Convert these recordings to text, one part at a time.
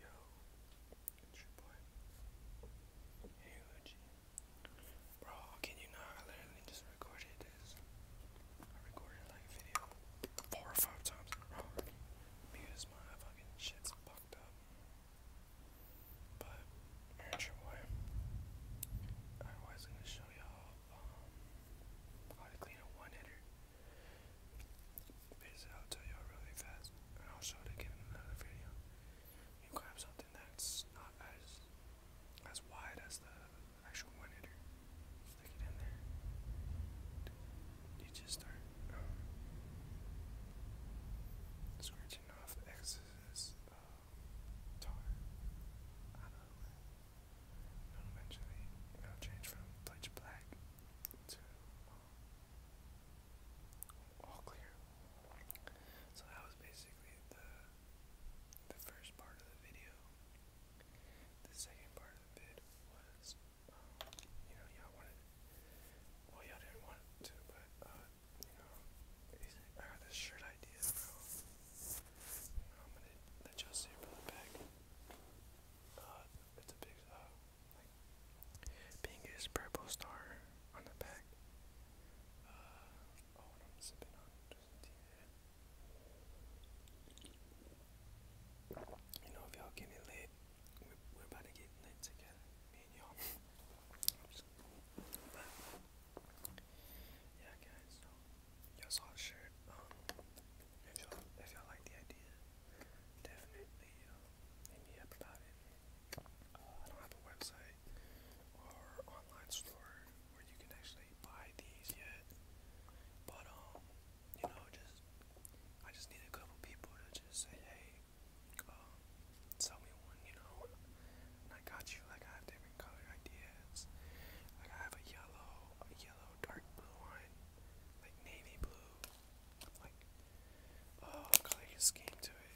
Yo, it's your boy. Hey, OG. Bro, can you not? I literally just recorded this. I recorded like a video four or five times in because my fucking shit's fucked up. But, it's your boy. I was gonna show y'all how to clean a one hitter. Basically, I'll tell you really fast, and I'll show it again in another video. You grab something that's not as as wide as the actual one hitter. Stick it in there. You just start uh, scratching off excess uh, tar out of it eventually it'll change from pitch black to um, all clear. So that was basically the the first part of the video. The second part of the vid was, um, you know, y'all wanted, well, y'all didn't want to, but, uh, you know, I got this shirt idea, I'm gonna let y'all see from the back uh, pinkish purple star on the back. Uh, oh, you know, if y'all getting lit, we're, about to get lit together, me and y'all. but, yeah, guys, Y'all saw the shirt. Um, if y'all like the idea, definitely um, uh, I don't have a website or online store where you can actually buy these yet, but um, you know, just I just need a couple people to just say, hey, um, sell me one, you know. I got you. Like I have different color ideas. Like I have a yellow, a yellow dark blue line like navy blue, like oh, got like a scheme to it.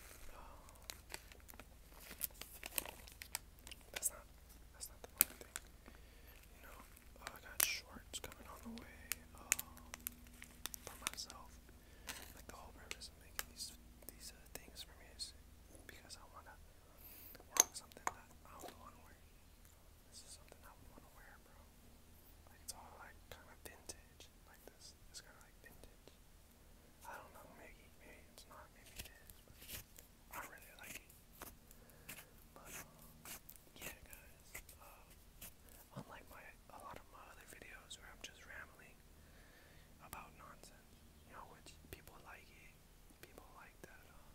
That's not that's not the one thing. You know, oh, I got shorts coming on the way um, for myself. Like the whole purpose of making these these uh, things for me is because I wanna rock something that I'm the one wearing. This is something I would want to wear, bro. Like it's all like kind of vintage, like this. It's kind of like vintage. I don't know, maybe, maybe it's not, maybe it is, but I really like it. But um, yeah, guys. Uh, unlike my a lot of my other videos where I'm just rambling about nonsense, you know, which people like it. People like that. Um,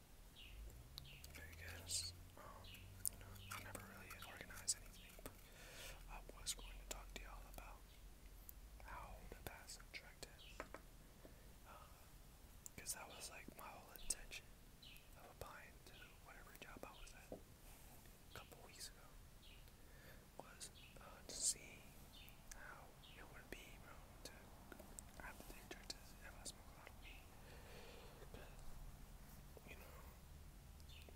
because um, you know, I never really organized anything, but I was going to talk to y'all about how the passive track Because uh, that was like my whole intention of applying to whatever job I was at a couple weeks ago was uh, to see how it would be, bro, to have to take churches if I smoke a lot of weed. Cause, you know,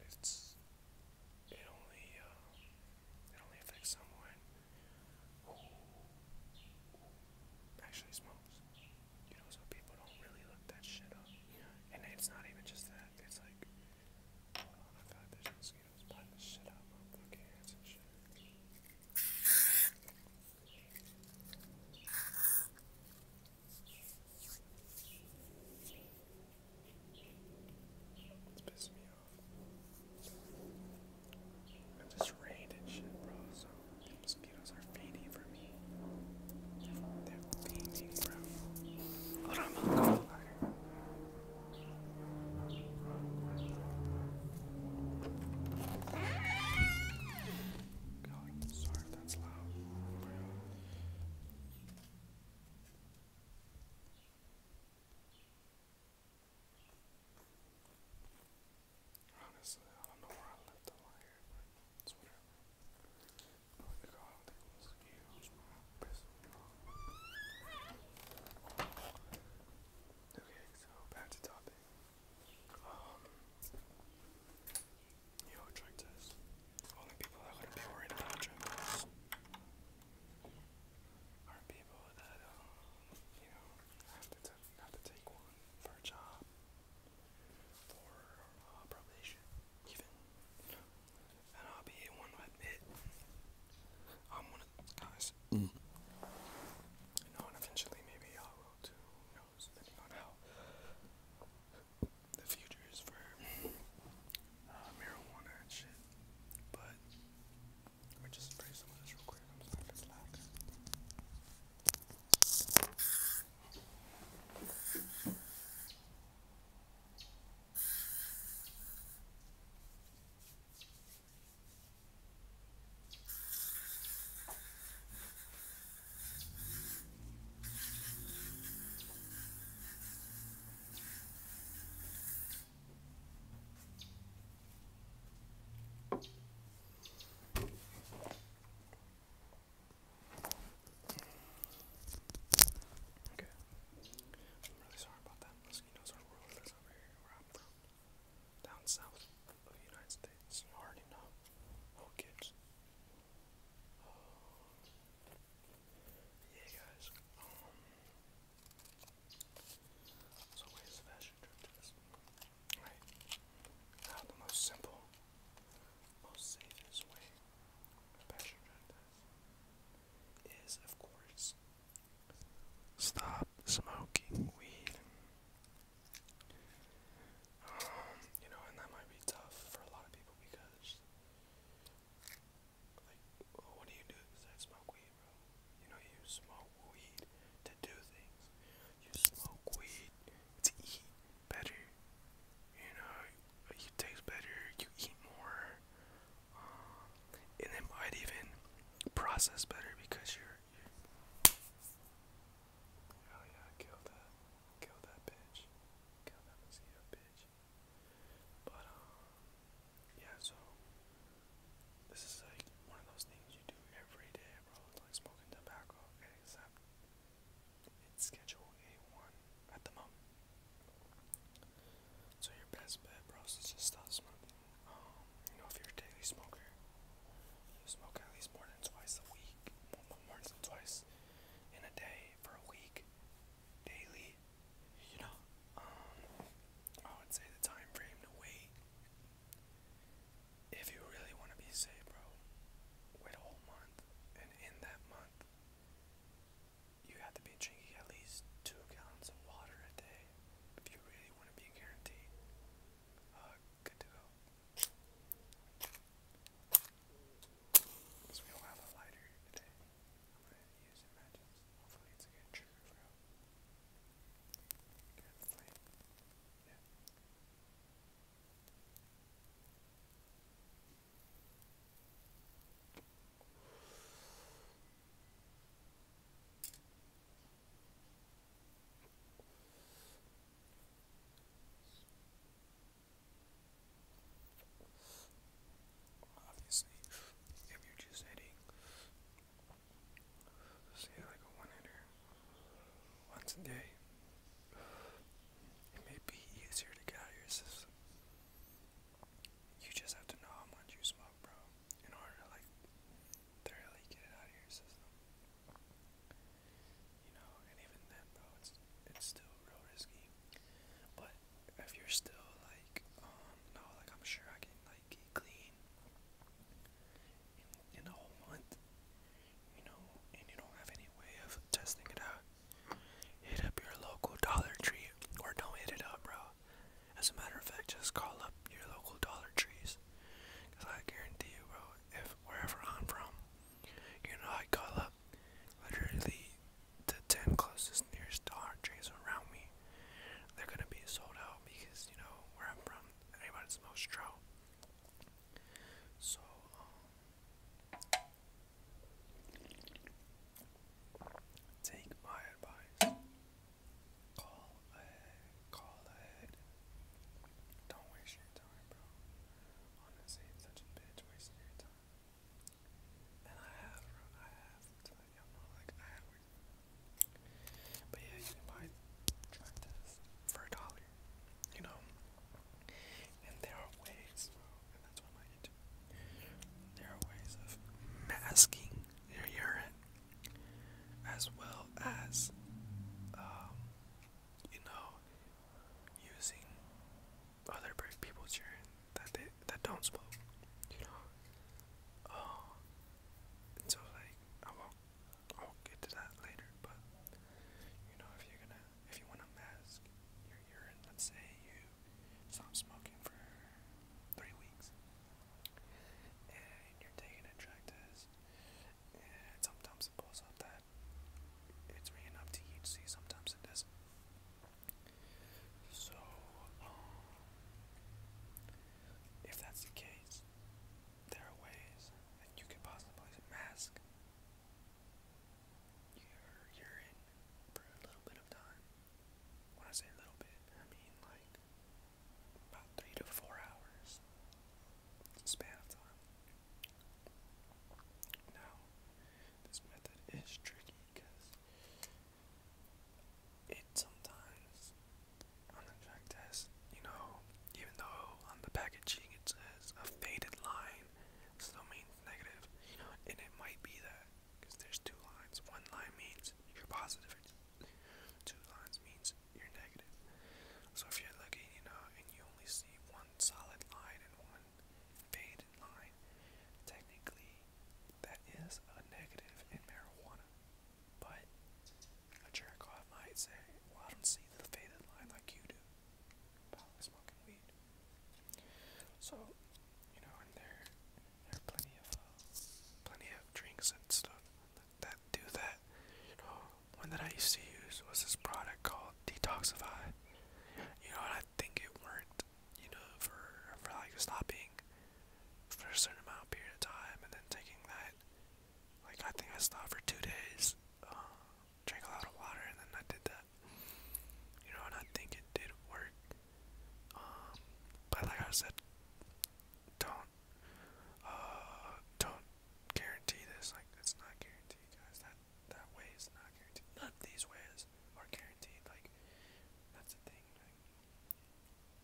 it's, it only, uh, it only affects someone who actually smokes. You know, so people don't really look that shit up. And it's not even just that, it's like, I feel like there's mosquitoes biting the shit out of my fucking hands and shit. It's pissing me off. It just rained and shit, bro, so the mosquitoes are fading for me. They're fading, bro. Hold on, I'm gonna go God, sorry that's loud. Honestly, I don't know where I left the wire, whatever. Okay, so back to topic. Um, you know, trick test. Only people that wouldn't be worried about are people that, um, you know, have to, have to take one for a job, for uh, probation, even. And I'll be one to admit, I'm one of the guys years. Mm. and eventually maybe I will too, depending on how the future is for uh, marijuana and shit. But let me just spray some of this real quick. I'm sorry if it's loud. Okay. I'm really sorry about that. Mosquitoes are ruthless over here where i from. Down south of United States. You already know. Oh, kids. yeah, guys. Um, so where's the fashion trip Right. Now the most simple, most safest way a fashion trip is, of course, Stop smoking weed. Um, you know, and that might be tough for a lot of people because, like, what do you do besides smoke weed, bro? You know, you smoke weed to do things. You smoke weed to eat better. You know, you taste better. You eat more. Um, and it might even process better because you're Oh yeah, kill that. Kill that bitch. Kill that mosquito bitch. But um yeah, so this is like one of those things you do every day, bro. It's like smoking tobacco, except it's schedule A1 at the moment. So your best bet, bro, is to just stop smoking you know, if you're a daily smoker, you smoke at least more than twice a week, more than twice in a day for a week, daily. You know, um, I would say the time frame to wait. If you really want to be safe, bro, wait a whole month, and in that month, you have to be drinking at least two gallons of water a day if you really want to be guaranteed uh, good to go. Because we don't have a lighter today, I'm going to use Imagines. Hopefully it's a good trigger for him. Good flame. Yeah. Obviously, if you're just hitting, say like a one hitter once a day, it may be easier to get out You just have to know how much you smoke, bro in order like thoroughly get it out of your system. You know, and even then though it's it's still real risky. But if you're still like, um, no, like I'm sure I can like clean in a whole month, you know, and you don't have any way of testing it out, hit up your local Dollar Tree or don't hit it up, bro. As a matter of fact, just call up your local Dollar Trees. Because I guarantee you, bro, if wherever I'm from, you know, I call up literally the 10 closest nearest Dollar Trees around me. They're going to be sold out because, you know, where I'm from, everybody smells straw. So, um, take my advice. Call ahead. Call ahead. Don't waste your time, bro. Honestly, such a bitch wasting your time. And I have, bro. I have. like, i have But yeah, you can buy drug for a dollar. You know? And there are ways, bro. And that's what I like There are ways of masking your urine as well as um, you know using other people's urine that they that don't smoke, you know. Uh, and so like I won't I will get to that later, but you know if you're gonna if you wanna mask your urine, let's say you stop smoking for three weeks and you're taking a and sometimes it pulls up that it's reading up THC, sometimes it doesn't. So, um, if that's the case, there are ways that you can possibly mask your urine for a little bit of time. When I say a little bit, I mean like about three to four hours span of time. Now, this method is tricky because it sometimes on the test, you know, even though on the packaging it says a faded line still means negative, you and it might be that because there's two lines. One line means you're positive, Two lines means you're negative. So if you're looking, you know, and you only see one solid line and one faded line, technically that is a negative in marijuana. But a jerk might say, Well, I don't see the faded line like you do about smoking weed. So, you know, in their there are plenty of uh, plenty of drinks and stuff that do that. One that I used to use was this product called Detoxify. You know, and I think it worked. You know, for for like stopping for a certain amount of period of time and then taking that. Like I think I stopped for two days, uh, drank a lot of water, and then I did that. You know, and I think it did work. Um, but like I said, don't uh don't guarantee this like it's not guaranteed guys that that way is not guaranteed none of these ways are guaranteed like that's the thing like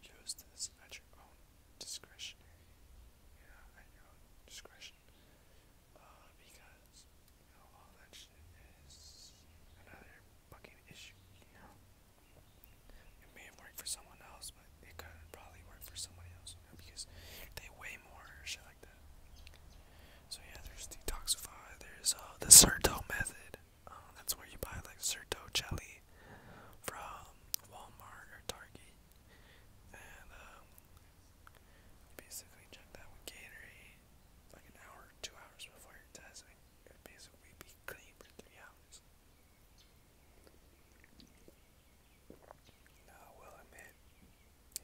use this at your own discretionary you know at your own discretion uh because you know all that shit is another fucking issue you know it may have for someone else, but it could probably work for somebody else, because they weigh more or shit like that. So yeah, there's detoxify. There's uh, the Certo method. Um, that's where you buy like Certo jelly from Walmart or Target, and um, basically check that with Gatorade like an hour, two hours before your test. It basically be clean for three hours. Now, I will admit,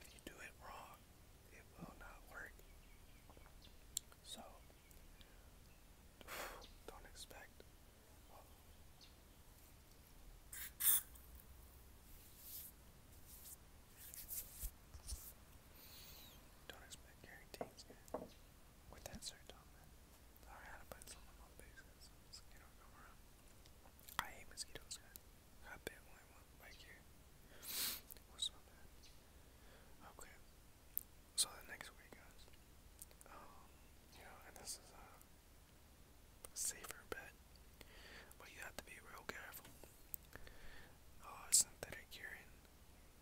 if you do it wrong, it will not work. So, don't expect. Don't expect guarantees with that sir, Tom. Man. I had to put I hate mosquitoes, guys. I bit one here. It was so bad. Okay. So next week, guys. Um, you know, and this is a safer bet, but you have to be real careful. Uh, synthetic urine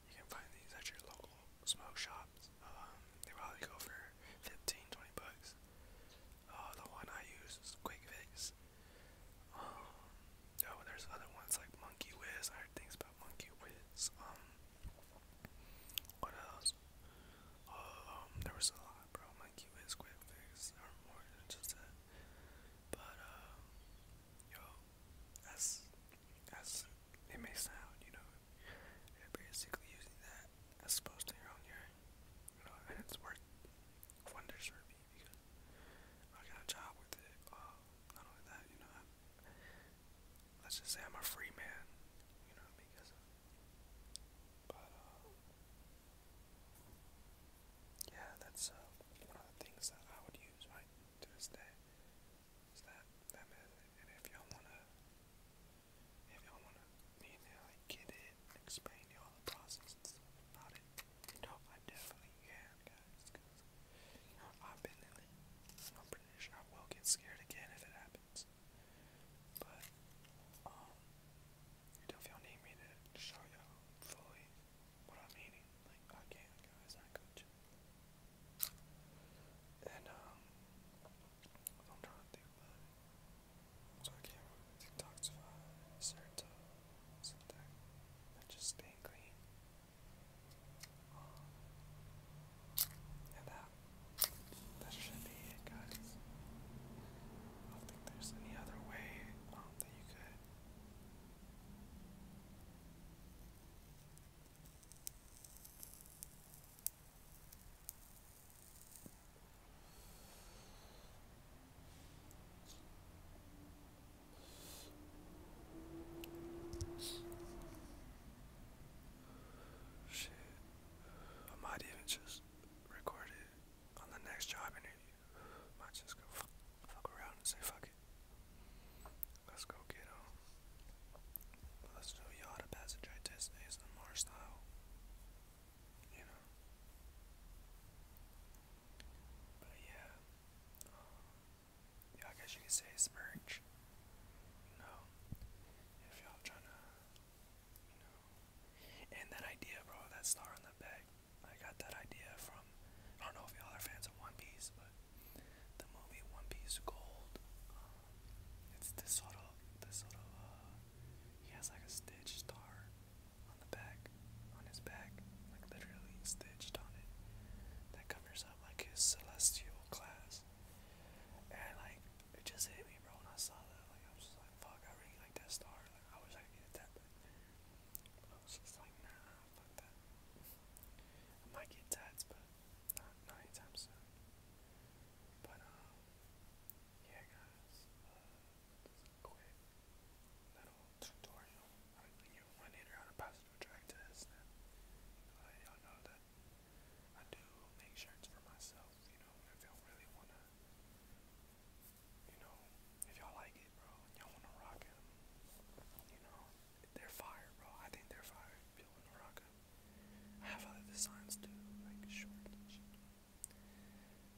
you can find these at your local smoke shops. Um, they probably go for 15, 20 bucks. Uh, the one I use is Quick Fix. Um, oh, there's other ones like Monkey Whiz. I heard things about Monkey Whiz. Um, what else? Um, there was a lot, bro. Monkey Whiz, Quick Fix, or more than just that. But, um, yo, that's as it may sound, you know. You're basically using that as opposed to your own urine. You know, and it's worked wonders for me because I got a job with it. Uh, not only that, you know, I, let's just say I'm a free man, you know, because. But, uh, yeah, that's uh, one of the things that I would use right to this day. It's that that method. And if y'all wanna if y'all wanna me and I get it and explain y'all the process and stuff about it, you I definitely can guys I've been in I'm pretty sure I will get scared again if it happens. But um if y'all need me to show y'all fully what I'm meaning, like I can guys, I got you. And um I'm trying to think So I can detoxify certain something and just staying clean. Um, and that that should be it guys. I don't think there's any other way um, that you could Shit. I might even just record it on the next job interview. might just go fuck around and say fuck it. Let's go get him. Let's do y'all the passage I test ASMR style. You know. But yeah. Um, yeah, I guess you could say it's merch. You If y'all trying to you know. And that idea, bro, that star on the back. I got that idea from I don't know if y'all are fans of One Piece, but the movie One Piece Gold. Um, it's this sort of this sort of uh, he has like a stitch star on the back on his back, like literally stitched on it. That covers up like his celestial class. And like it just hit me bro when I saw that. Like I was just like fuck I really like that star. Like I wish I could get that I was just like nah fuck that. I might get tats but not, not anytime But, um, yeah, guys. Uh, just a quick little tutorial on your one hitter how to positive attract test. And let y'all know that I do make shirts for myself, you know, if y'all really want to. You know, if y'all like it, bro, y'all wanna rock them. You know, they're fire, bro. I think they're fire. If you wanna rock manga. I have other designs too, like short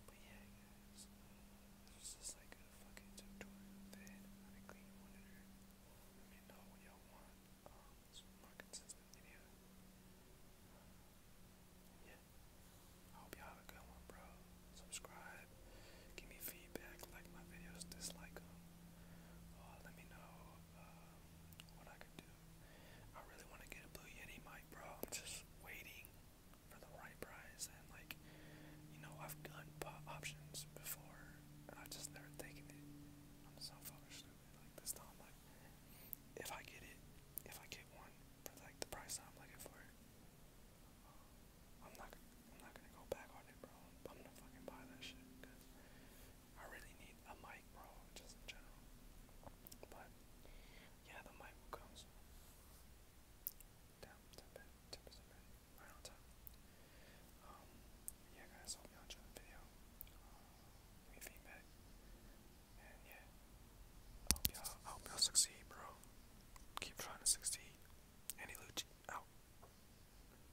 But yeah, guys, uh, this like a fucking tutorial that I clean Let me know what y'all want. Um, Subscribe. Give me feedback. Like my videos. Dislike them. Uh, let me know um, what I could do. I really want to get a Blue Yeti mic, bro. am just waiting for the right price, and like, you know, I've done options before, and I've just never taken it. I'm so fucking stupid. Like this time, like, if I get it, if I get one for like the price I'm looking for it, um, I'm not, I'm not gonna go back on it, bro. I'm gonna fucking buy that shit I really need a mic, bro, just in general. But yeah, the mic will come soon. Damn, tip it, tip it, time. Um, yeah, guys, hope y'all the video. Uh, feedback, and yeah, I hope y'all, I hope y'all succeed, bro. Keep trying to succeed. Andy Lucci out. Oh.